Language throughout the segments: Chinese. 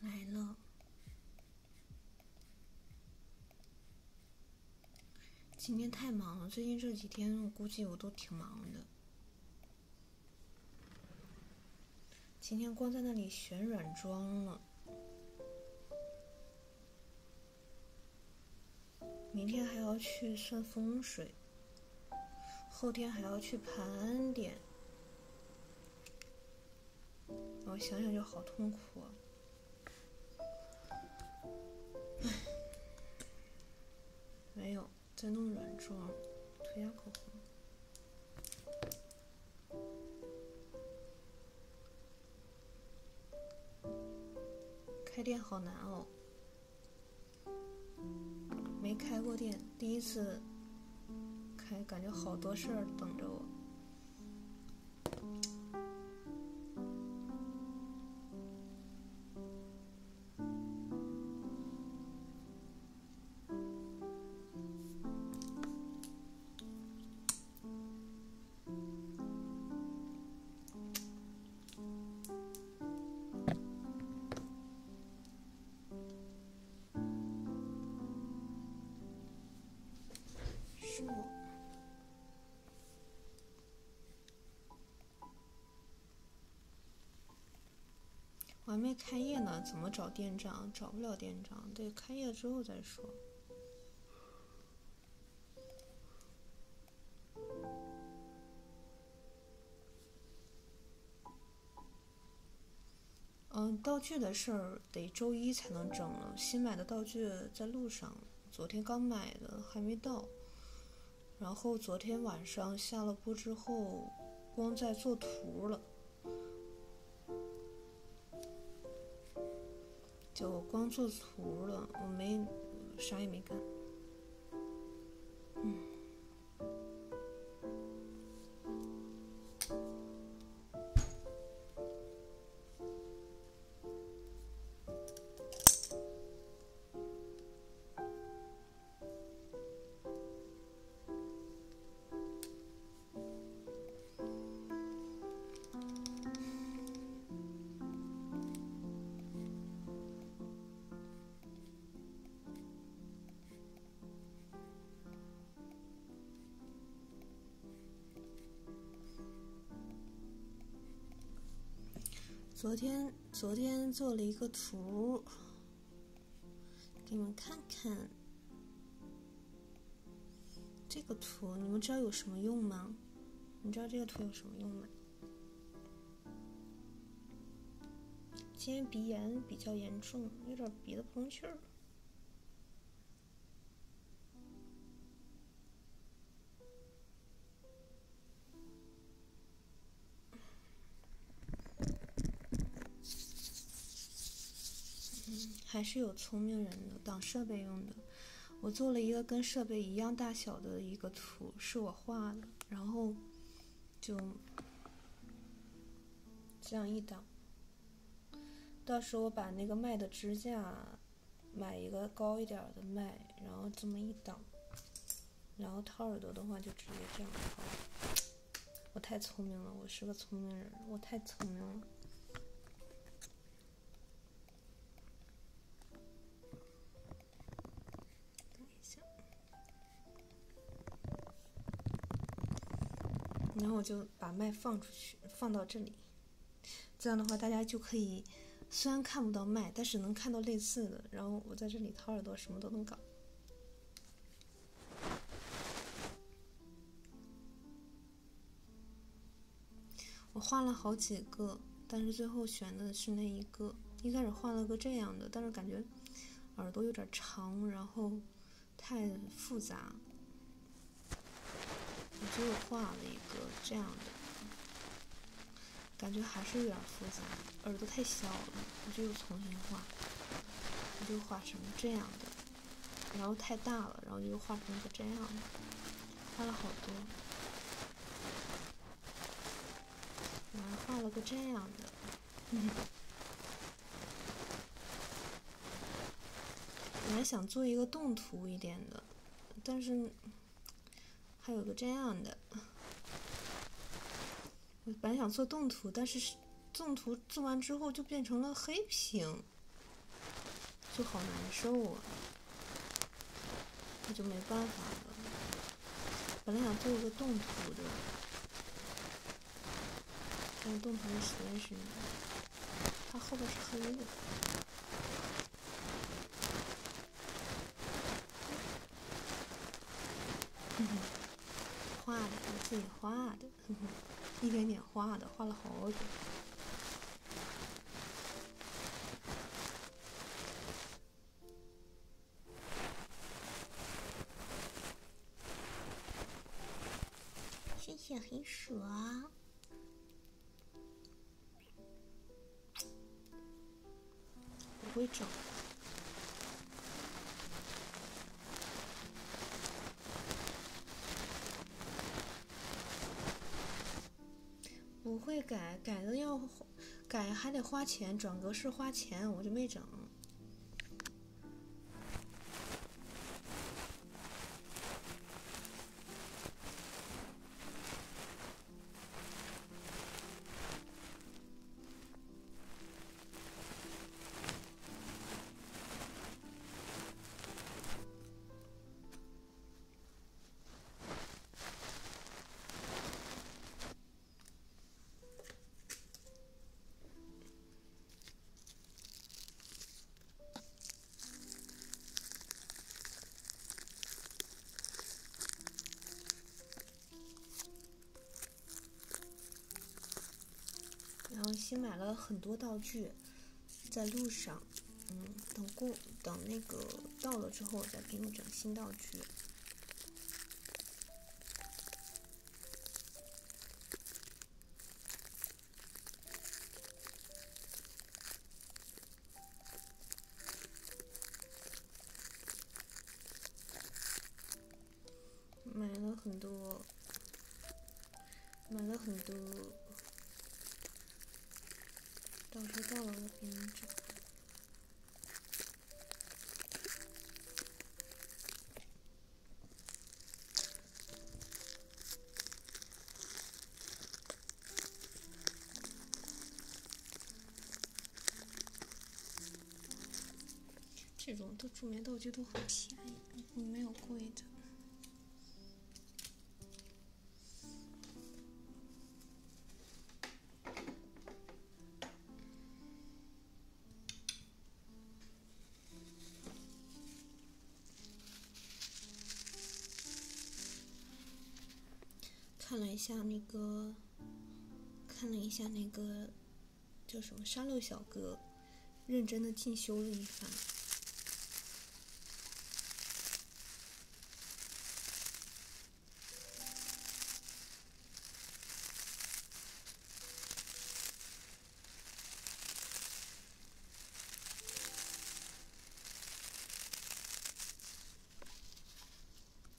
来了。今天太忙了，最近这几天我估计我都挺忙的。今天光在那里选软装了。明天还要去算风水，后天还要去盘点，我想想就好痛苦。啊！唉，没有，在弄软妆，涂下口红。开店好难哦，没开过店，第一次开，感觉好多事儿等着我。是我。我还没开业呢，怎么找店长？找不了店长，得开业之后再说。嗯，道具的事儿得周一才能整了。新买的道具在路上，昨天刚买的还没到。然后昨天晚上下了播之后，光在做图了。就我光做图了，我没啥也没干。嗯。昨天，昨天做了一个图，给你们看看。这个图，你们知道有什么用吗？你知道这个图有什么用吗？今天鼻炎比较严重，有点鼻子不通气儿。嗯，还是有聪明人的挡设备用的。我做了一个跟设备一样大小的一个图，是我画的，然后就这样一挡。到时候我把那个麦的支架买一个高一点的麦，然后这么一挡，然后掏耳朵的话就直接这样掏。我太聪明了，我是个聪明人，我太聪明了。然后我就把麦放出去，放到这里。这样的话，大家就可以，虽然看不到麦，但是能看到类似的。然后我在这里掏耳朵，什么都能搞。我画了好几个，但是最后选的是那一个。一开始画了个这样的，但是感觉耳朵有点长，然后太复杂，我就画了一个这样的，感觉还是有点复杂，耳朵太小了，我就又重新画，我就画成这样的，然后太大了，然后又画成一个这样的，画了好多。我还画了个这样的，本来想做一个动图一点的，但是还有个这样的，我本来想做动图，但是动图做完之后就变成了黑屏，就好难受啊。那就没办法了。本来想做一个动图的，但是动图的实在是，它后边是黑的。画的，我自己画的，一点点画的，画了好久。谢谢黑鼠啊！不会整，不会改，改的要。改还得花钱，转格式花钱，我就没整。然后新买了很多道具，在路上，嗯，等过，等那个。到了之后我再给你整新道具。买了很多，买了很多，到时候到了我给你整。这种都煮面道具都很便宜，没有贵的。看了一下那个，看了一下那个叫什么沙漏小哥，认真的进修了一番。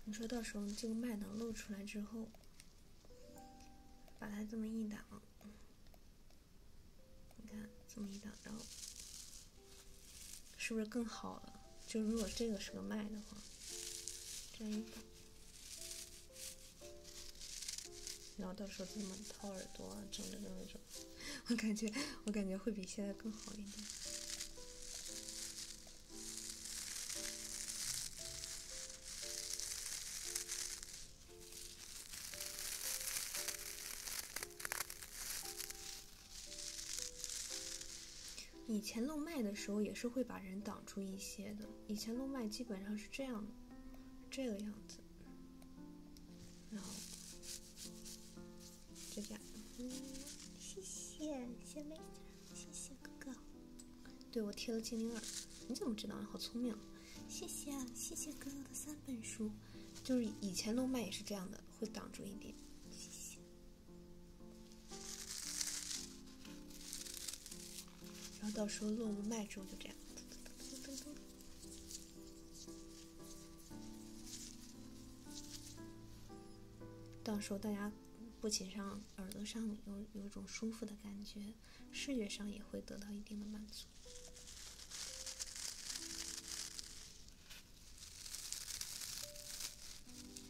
你说到时候这个麦能露出来之后，把它这么一挡，你看这么一挡，然后。是不是更好了？就如果这个是个麦的话，这样一个，然后到时候这么掏耳朵啊，整的那种，我感觉我感觉会比现在更好一点。以前露麦的时候也是会把人挡住一些的。以前露麦基本上是这样的，这个样子。然后就这样。嗯，谢谢，谢妹，谢谢哥哥。对我贴了精灵耳，你怎么知道好聪明。谢谢啊，谢谢哥哥的三本书。就是以前露麦也是这样的，会挡住一点。谢谢。然后到时候落幕卖之后，就这样。到时候大家不仅上耳朵上有有一种舒服的感觉，视觉上也会得到一定的满足。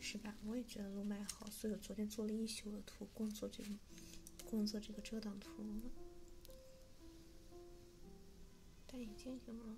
是吧？我也觉得路漫好，所以我昨天做了一宿的图，光做这个，光做这个遮挡图了。戴眼镜行吗？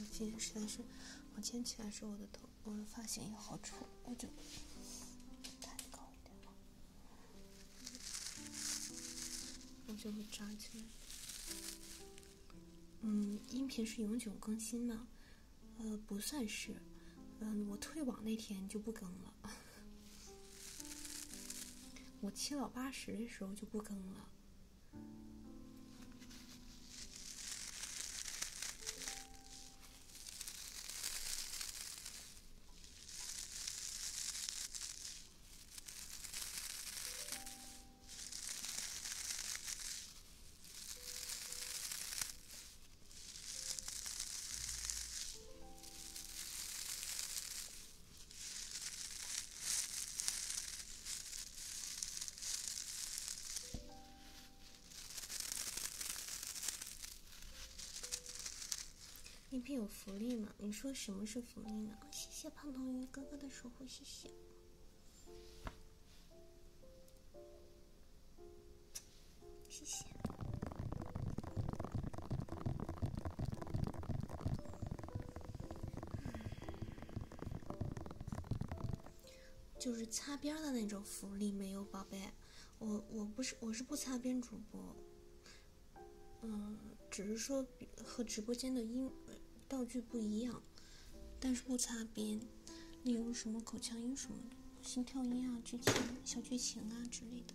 我今天实在是，我今天起来时候，我的头，我的发型也好丑，我就太高一点了，我就会扎起来。嗯，音频是永久更新吗？呃，不算是。嗯，我退网那天就不更了。我七老八十的时候就不更了。礼品有福利吗？你说什么是福利呢？谢谢胖头鱼哥哥的守护，谢谢。谢谢。就是擦边的那种福利没有，宝贝。我我不是我是不擦边主播，嗯，只是说和直播间的音道具不一样，但是不擦边，例如什么口腔音什么的，心跳音啊，剧情小剧情啊之类的。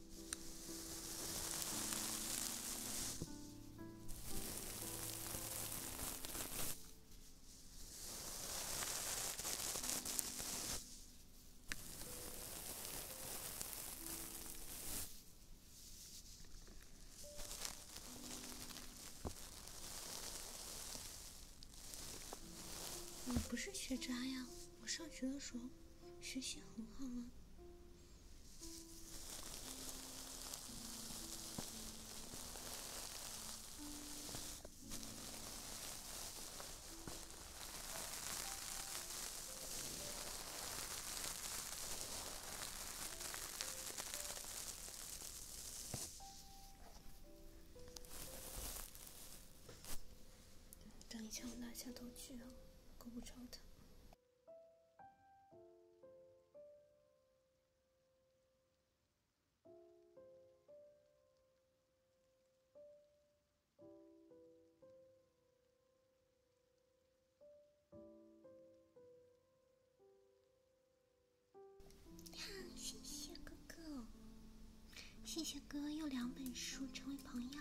你不是学渣呀，我上学的时候。学习很好啊！等一下，我拿下道具啊。够不着的。好，谢谢哥哥，谢谢哥哥，又两本书，成为朋友。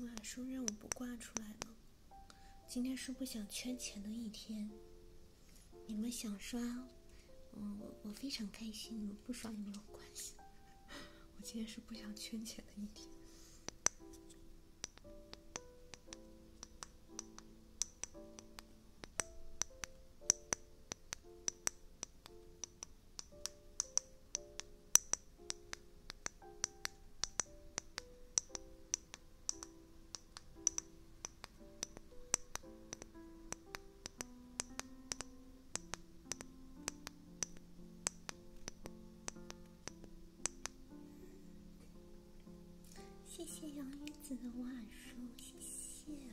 马叔任务不挂出来了，今天是不想圈钱的一天。你们想刷，嗯，我非常开心。你们不刷也没有关系。我今天是不想圈钱的一天。谢谢杨女子的晚安谢谢。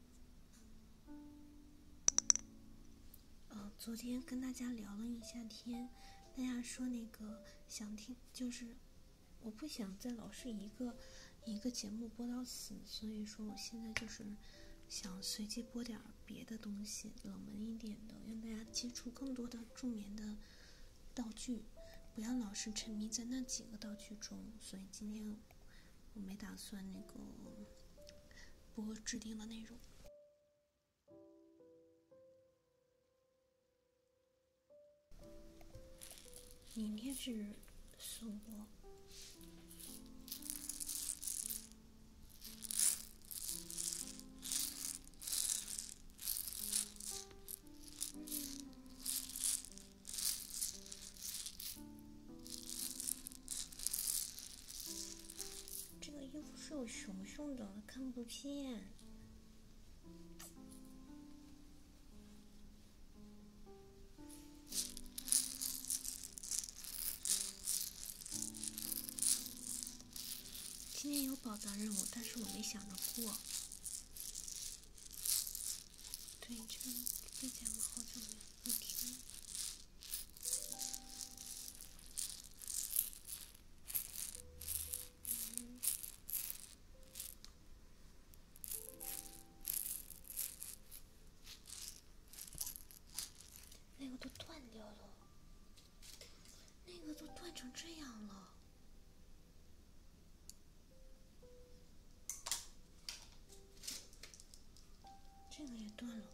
呃，昨天跟大家聊了一下天，大家说那个想听，就是我不想再老是一个一个节目播到死，所以说我现在就是想随机播点别的东西，冷门一点的，让大家接触更多的助眠的道具，不要老是沉迷在那几个道具中，所以今天。我没打算那个播制定的内容，明天是送播。这个衣服是有熊熊的，看不见。今天有宝藏任务，但是我没想着过。对，这最近我好久没录听了。那个都断掉了，那个都断成这样了，这个也断了。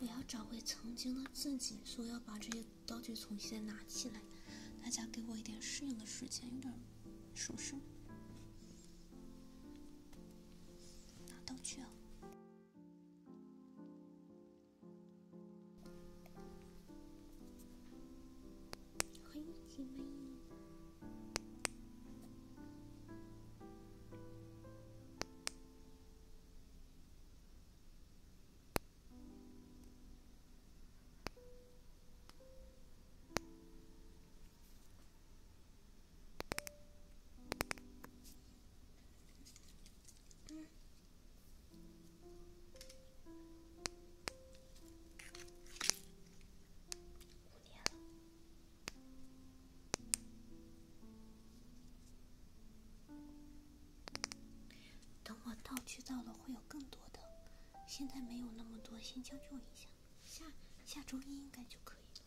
我要找回曾经的自己，所以要把这些道具重新拿起来。大家给我一点适应的时间，有点熟悉。拿刀去哦！五年了。等我道具到了，会有更多的。现在没有那么多，先将就一下。下下周一应该就可以了。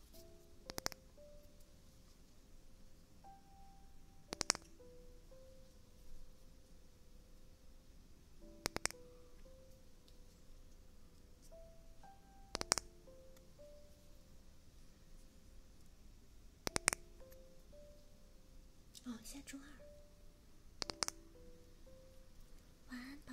哦，下周二。晚安，宝。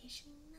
还是你呢？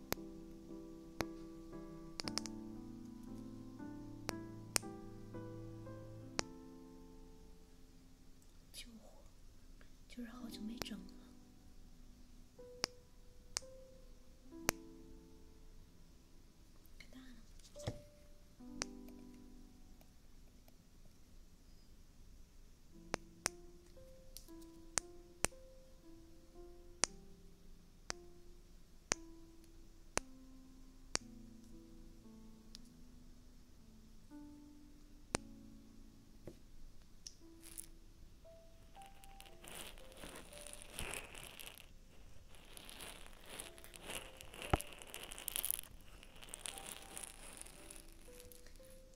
救火，就是好久没整了，了。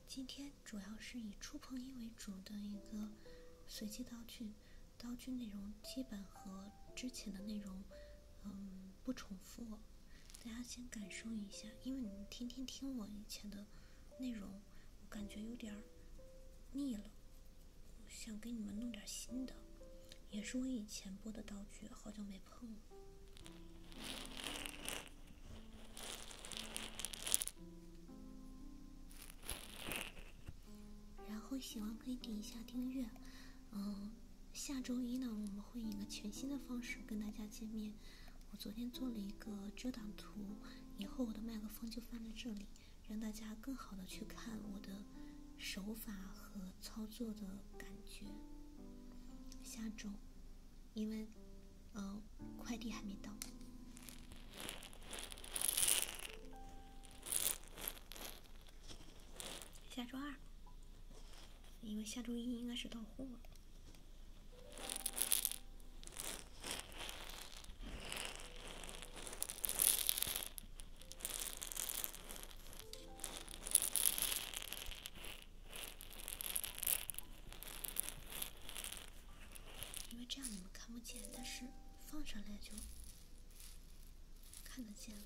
今天主要是以触碰音为主的一个随机道具。道具内容基本和之前的内容，嗯，不重复。大家先感受一下，因为你们天天听我以前的内容，我感觉有点腻了，想给你们弄点新的。也是我以前播的道具，好久没碰了。然后喜欢可以点一下订阅，嗯，下周一呢我们会以一个全新的方式跟大家见面。我昨天做了一个遮挡图，以后我的麦克风就放在这里，让大家更好的去看我的手法和操作的感觉。下周，因为，嗯，快递还没到。下周二，因为下周一应该是到货。因为这样你们看不见，但是。放上来就看得见了。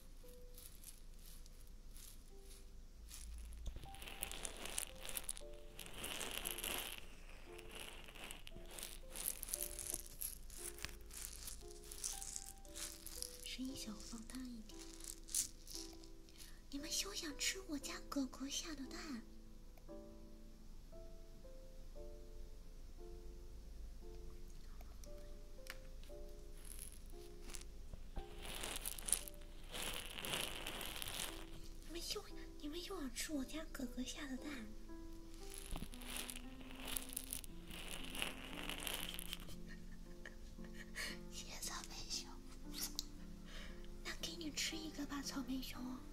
声音小，放大一点。你们休想吃我家狗狗下的蛋！你们又，你们又想吃我家哥哥下的蛋？谢谢草莓熊，那给你吃一个吧，草莓熊。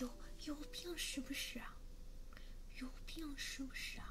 有有病是不是？啊？有病是不是？啊？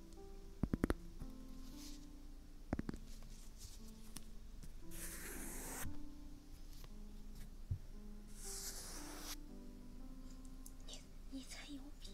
你你才有病。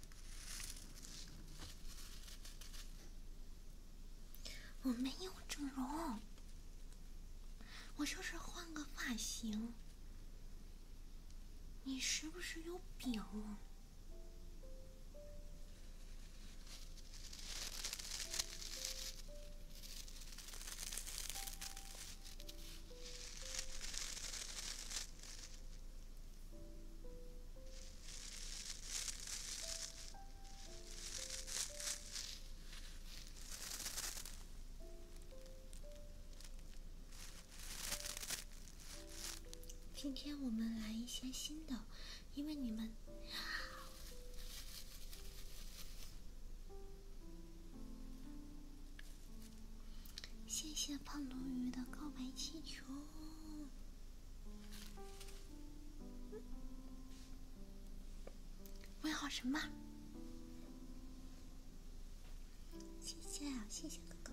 我没有整容，我就是换个发型。你是不是有病？今天我们来一些新的，因为你们谢谢胖鲈鱼的告白气球。问号什么？谢谢啊，谢谢哥哥。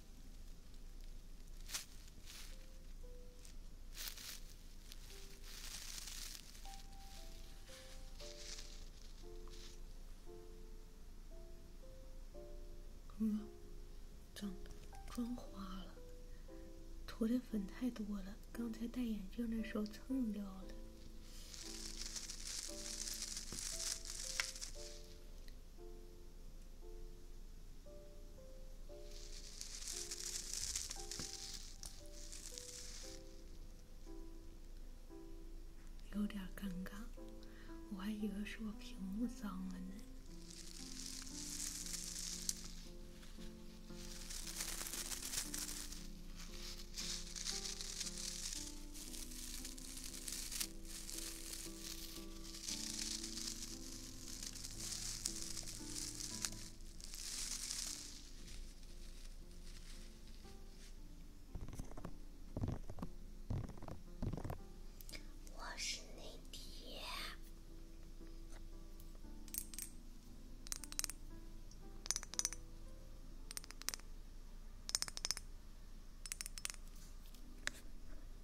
嗯，妆花了，涂的粉太多了。刚才戴眼镜的时候蹭掉了。有点尴尬，我还以为是我屏幕脏了呢。我是内弟。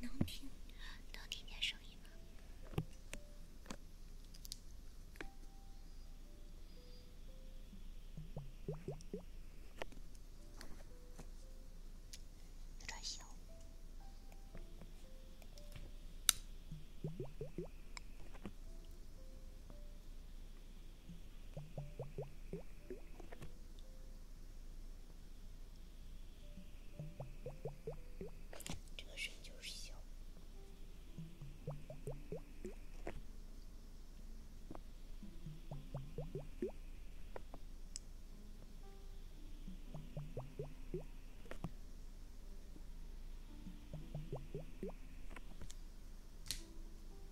能听，能听见声音吗？有点小。这个声就是小。